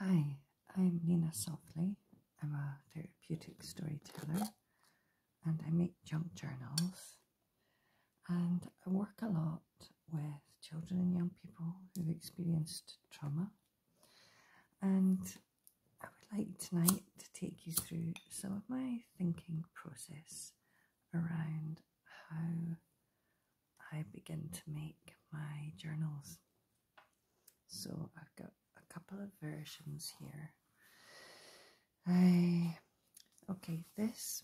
Hi, I'm Nina Softley. I'm a therapeutic storyteller and I make junk journals. And I work a lot with children and young people who've experienced trauma. And I would like tonight to take you through some of my thinking process around how I begin to make my journals. So I've got a couple of versions here. I okay this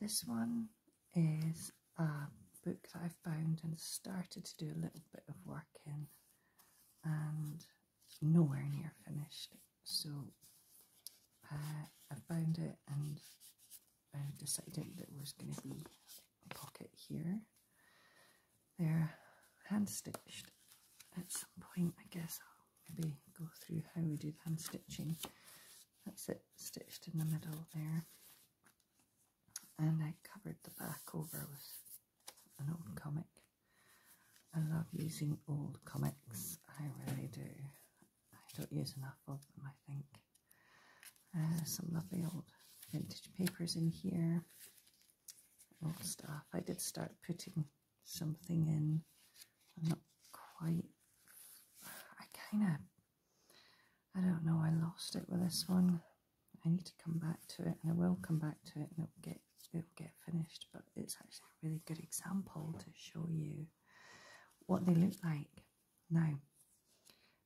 this one is a book that I found and started to do a little bit of work in and nowhere near finished. So uh, I found it and I decided that was going to be a pocket here. They're hand stitched. At some point, I guess I'll maybe go through how we do hand stitching. That's it stitched in the middle there. And I covered the back over with an old comic. I love using old comics, I really do. I don't use enough of them, I think. Uh, some lovely old vintage papers in here, old stuff. I did start putting something in. I'm not quite. I kind of. I don't know. I lost it with this one. I need to come back to it, and I will come back to it, and it'll get it'll get finished. But it's actually a really good example to show you what they look like now,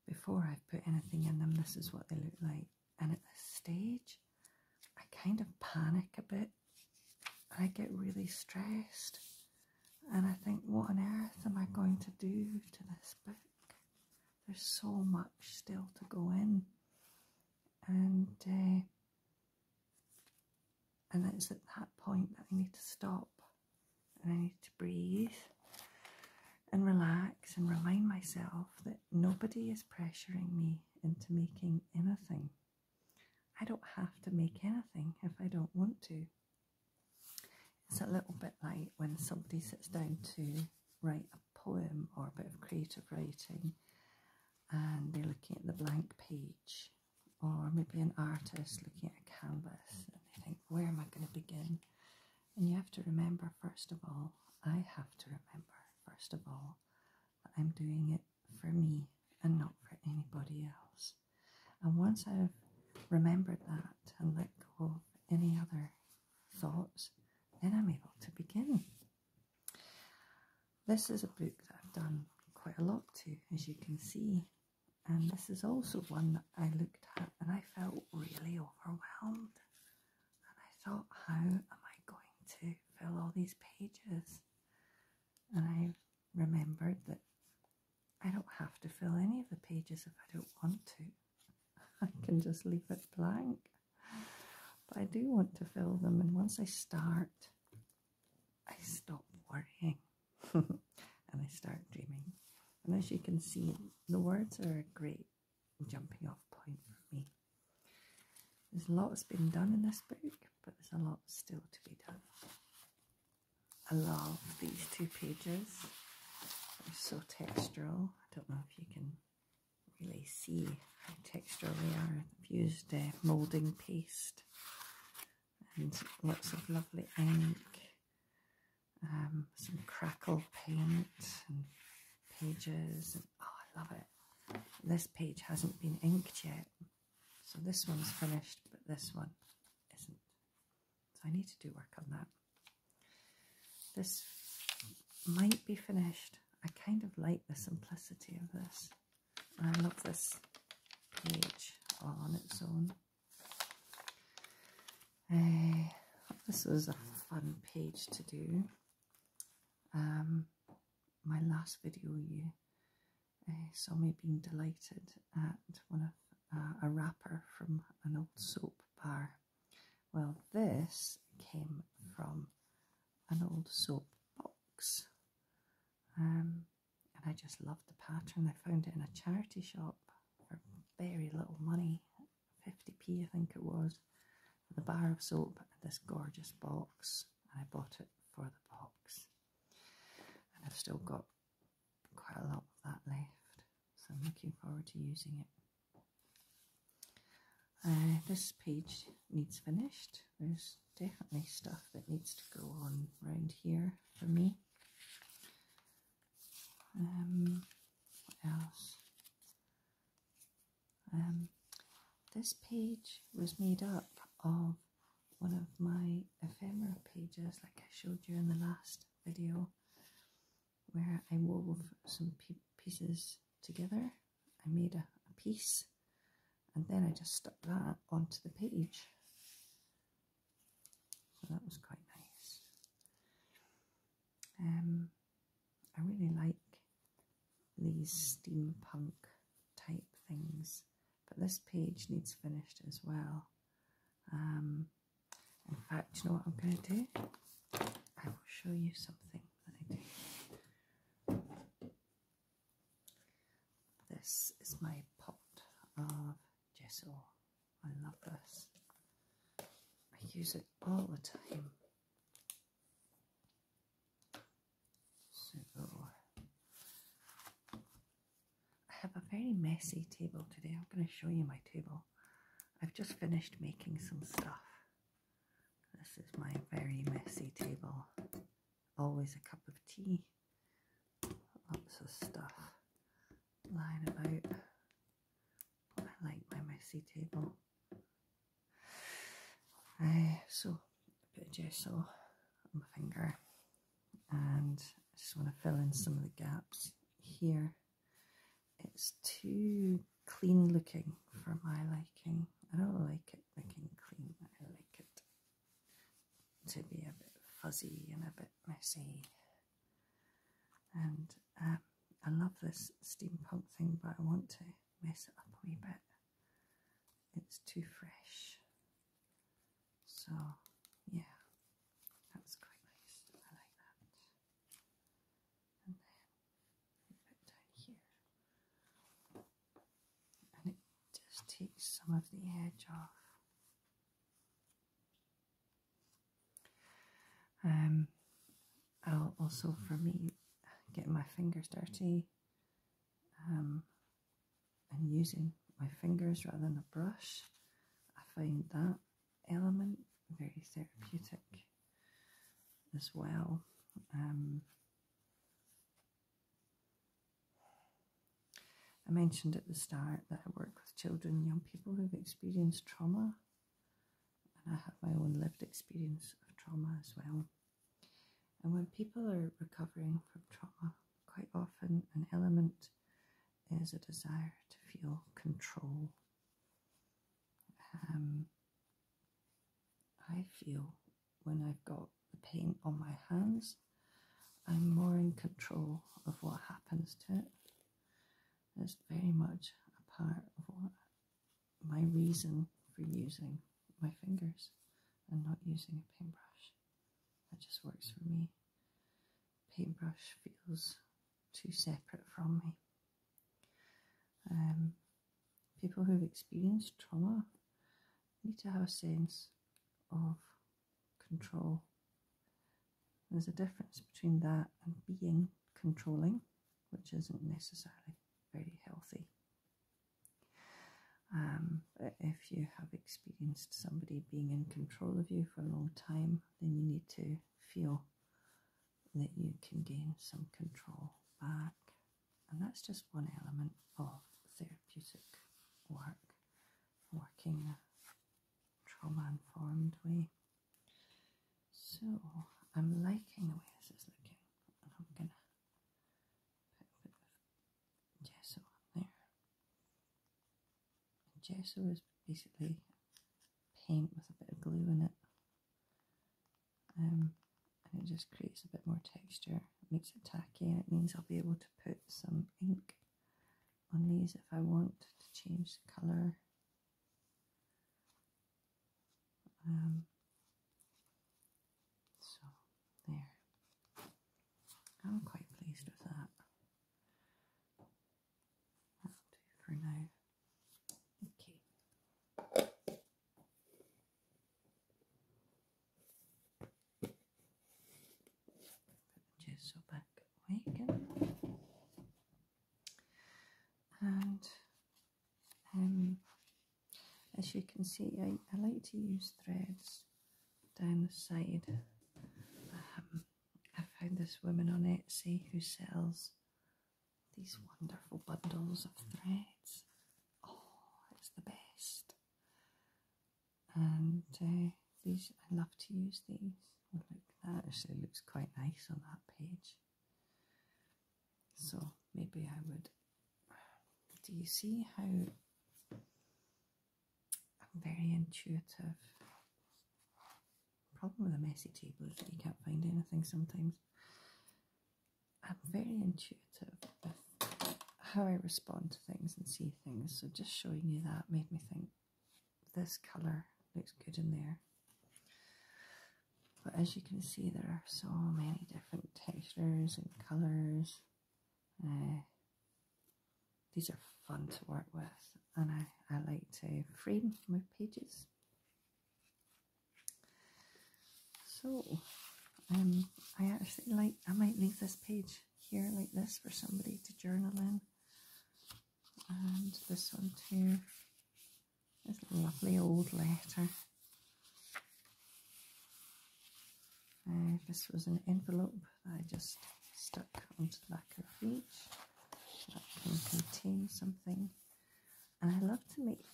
before i put anything in them, this is what they look like. And at this stage, I kind of panic a bit. I get really stressed. And I think, what on earth am I going to do to this book? There's so much still to go in. And uh, and it's at that point that I need to stop and I need to breathe and relax and remind myself that nobody is pressuring me into making anything. I don't have to make anything if I don't want to. It's a little bit like when somebody sits down to write a poem or a bit of creative writing and they're looking at the blank page or maybe an artist looking at a canvas and they think, where am I going to begin? And you have to remember, first of all, I have to remember, first of all, that I'm doing it for me and not for anybody else. And once I've remembered that and let go of any other thoughts, then I'm able to begin. This is a book that I've done quite a lot to, as you can see and this is also one that I looked at and I felt really overwhelmed. And I thought, how am I going to fill all these pages? And I remembered that I don't have to fill any of the pages if I don't want to. I can just leave it blank. But I do want to fill them, and once I start, I stop worrying and I start dreaming. And as you can see, the words are a great jumping off point for me. There's a lot that's been done in this book, but there's a lot still to be done. I love these two pages. They're so textural. I don't know if you can really see how textural they are. I've used uh, moulding paste and lots of lovely ink, um, some crackle paint and pages. oh, I love it. This page hasn't been inked yet, so this one's finished, but this one isn't. So I need to do work on that. This might be finished. I kind of like the simplicity of this. I love this page on its own. Eh, this was a fun page to do. Um, my last video, you eh, saw me being delighted at one of uh, a wrapper from an old soap bar. Well, this came from an old soap box. Um, and I just loved the pattern. I found it in a charity shop for very little money, 50p I think it was, with a bar of soap and this gorgeous box. and I bought it for the box, and I've still got quite a lot of that left, so I'm looking forward to using it. Uh, this page needs finished there's definitely stuff that needs to go on around here for me. Um, what else? Um, this page was made up of one of my ephemera pages, like I showed you in the last video, where I wove some pieces together. I made a piece and then I just stuck that onto the page. So that was quite nice. Um, I really like these steampunk type things, but this page needs finished as well. Um, in fact, you know what I'm going to do? I will show you something this is my pot of gesso. I love this. I use it all the time. So I have a very messy table today. I'm going to show you my table. I've just finished making some stuff. This is my very messy table always a cup of tea, lots of stuff lying about. I like my messy table. Uh, so, a bit of gesso on my finger, and I just want to fill in some of the gaps here. It's too clean looking for my liking. I don't like it looking clean, I like it to be a bit fuzzy and a bit messy. And um, I love this steampunk thing, but I want to mess it up a wee bit. It's too fresh. So, yeah, that was quite nice. I like that. And then a bit down here and it just takes some of the edge off. Um, I'll also, for me, getting my fingers dirty um, and using my fingers rather than a brush. I find that element very therapeutic as well. Um, I mentioned at the start that I work with children, young people who've experienced trauma, and I have my own lived experience of trauma as well. And when people are recovering from trauma, quite often an element is a desire to feel control. Um, I feel when I've got the paint on my hands, I'm more in control of what happens to it. It's very much a part of what, my reason for using my fingers and not using a paintbrush. That just works for me. Paintbrush feels too separate from me. Um, people who've experienced trauma need to have a sense of control. There's a difference between that and being controlling, which isn't necessarily very healthy. Um, if you have experienced somebody being in control of you for a long time, then you need to feel that you can gain some control back. And that's just one element of therapeutic work, working a trauma informed way. So I'm liking the way this is looking, and I'm gonna put a bit of gesso on there. gesso is basically paint with a bit of glue in it um, and it just creates a bit more texture. It makes it tacky and it means I'll be able to put some ink on these if I want to change the colour. Um, so, there. I'm quite pleased with that. That'll for now. Okay. gesso back again. And um, as you can see, I, I like to use threads down the side. Um, I found this woman on Etsy who sells these wonderful bundles of threads. Oh, it's the best. And uh, these, I love to use these. Oh, look, that actually looks quite nice on that page. So maybe I would. Do you see how I'm very intuitive? Problem with a messy table is that you can't find anything sometimes. I'm very intuitive with how I respond to things and see things, so just showing you that made me think this colour looks good in there. But as you can see, there are so many different textures and colours. Uh, these are fun to work with, and I, I like to frame my pages so, um, I actually like, I might leave this page here like this for somebody to journal in. And this one too. This lovely old letter. Uh, this was an envelope I just stuck onto the back of each. That can contain something and I love to make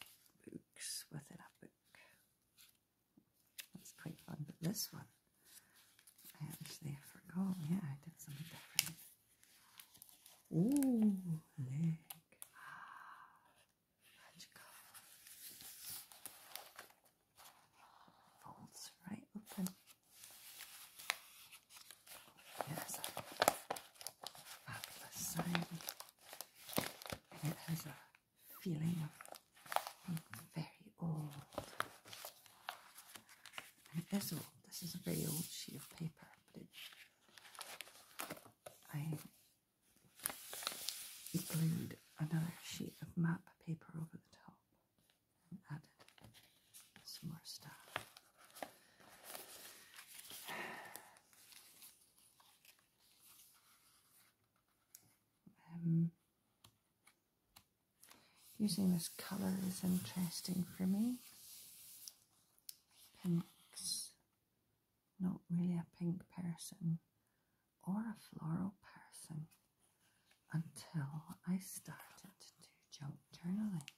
books within a book. That's quite fun, but this one I actually forgot. Yeah, I did something different. Ooh, leg. Magical. Folds right open. Yes fabulous sign. And it has a feeling of being very old. And it is old. This is a very old sheet of paper, but it, I glued another sheet of map paper over the top and added some more stuff. Um, using this colour is interesting for me. Pink's not really a pink person or a floral person until I started to do junk journaling.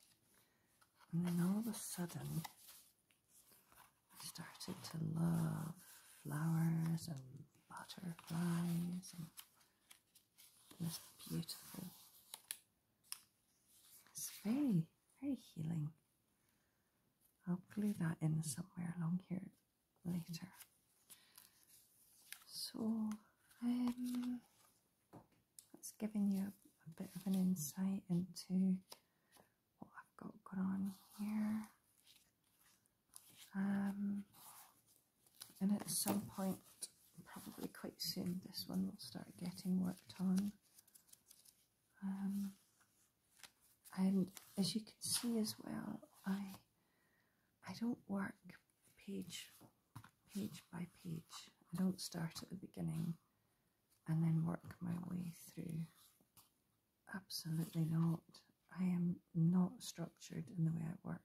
And then all of a sudden, I started to love flowers and butterflies and this beautiful. It's very, very healing. I'll glue that in somewhere along here later. So, um, that's giving you a, bit of an insight into what I've got going on here. Um, and at some point, probably quite soon, this one will start getting worked on. Um, and as you can see as well, I I don't work page page by page. I don't start at the beginning and then work my way through. Absolutely not. I am not structured in the way I work.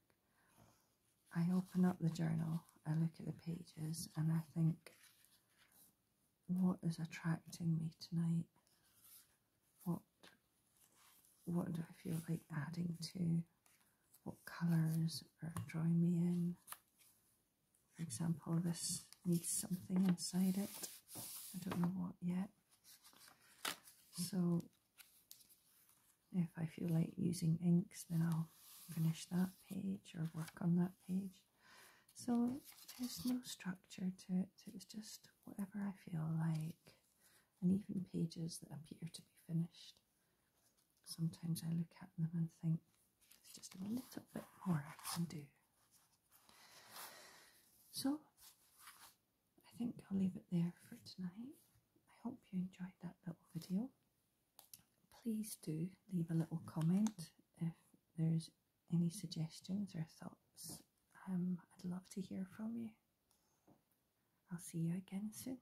I open up the journal, I look at the pages, and I think, what is attracting me tonight? What what do I feel like adding to? What colours are drawing me in? For example, this needs something inside it. I don't know what yet. So if I feel like using inks, then I'll finish that page or work on that page. So there's no structure to it, it's just whatever I feel like, and even pages that appear to be finished. Sometimes I look at them and think, there's just a little bit more I can do. So, I think I'll leave it there for tonight. I hope you enjoyed that little video. Please do leave a little comment if there's any suggestions or thoughts. Um, I'd love to hear from you. I'll see you again soon.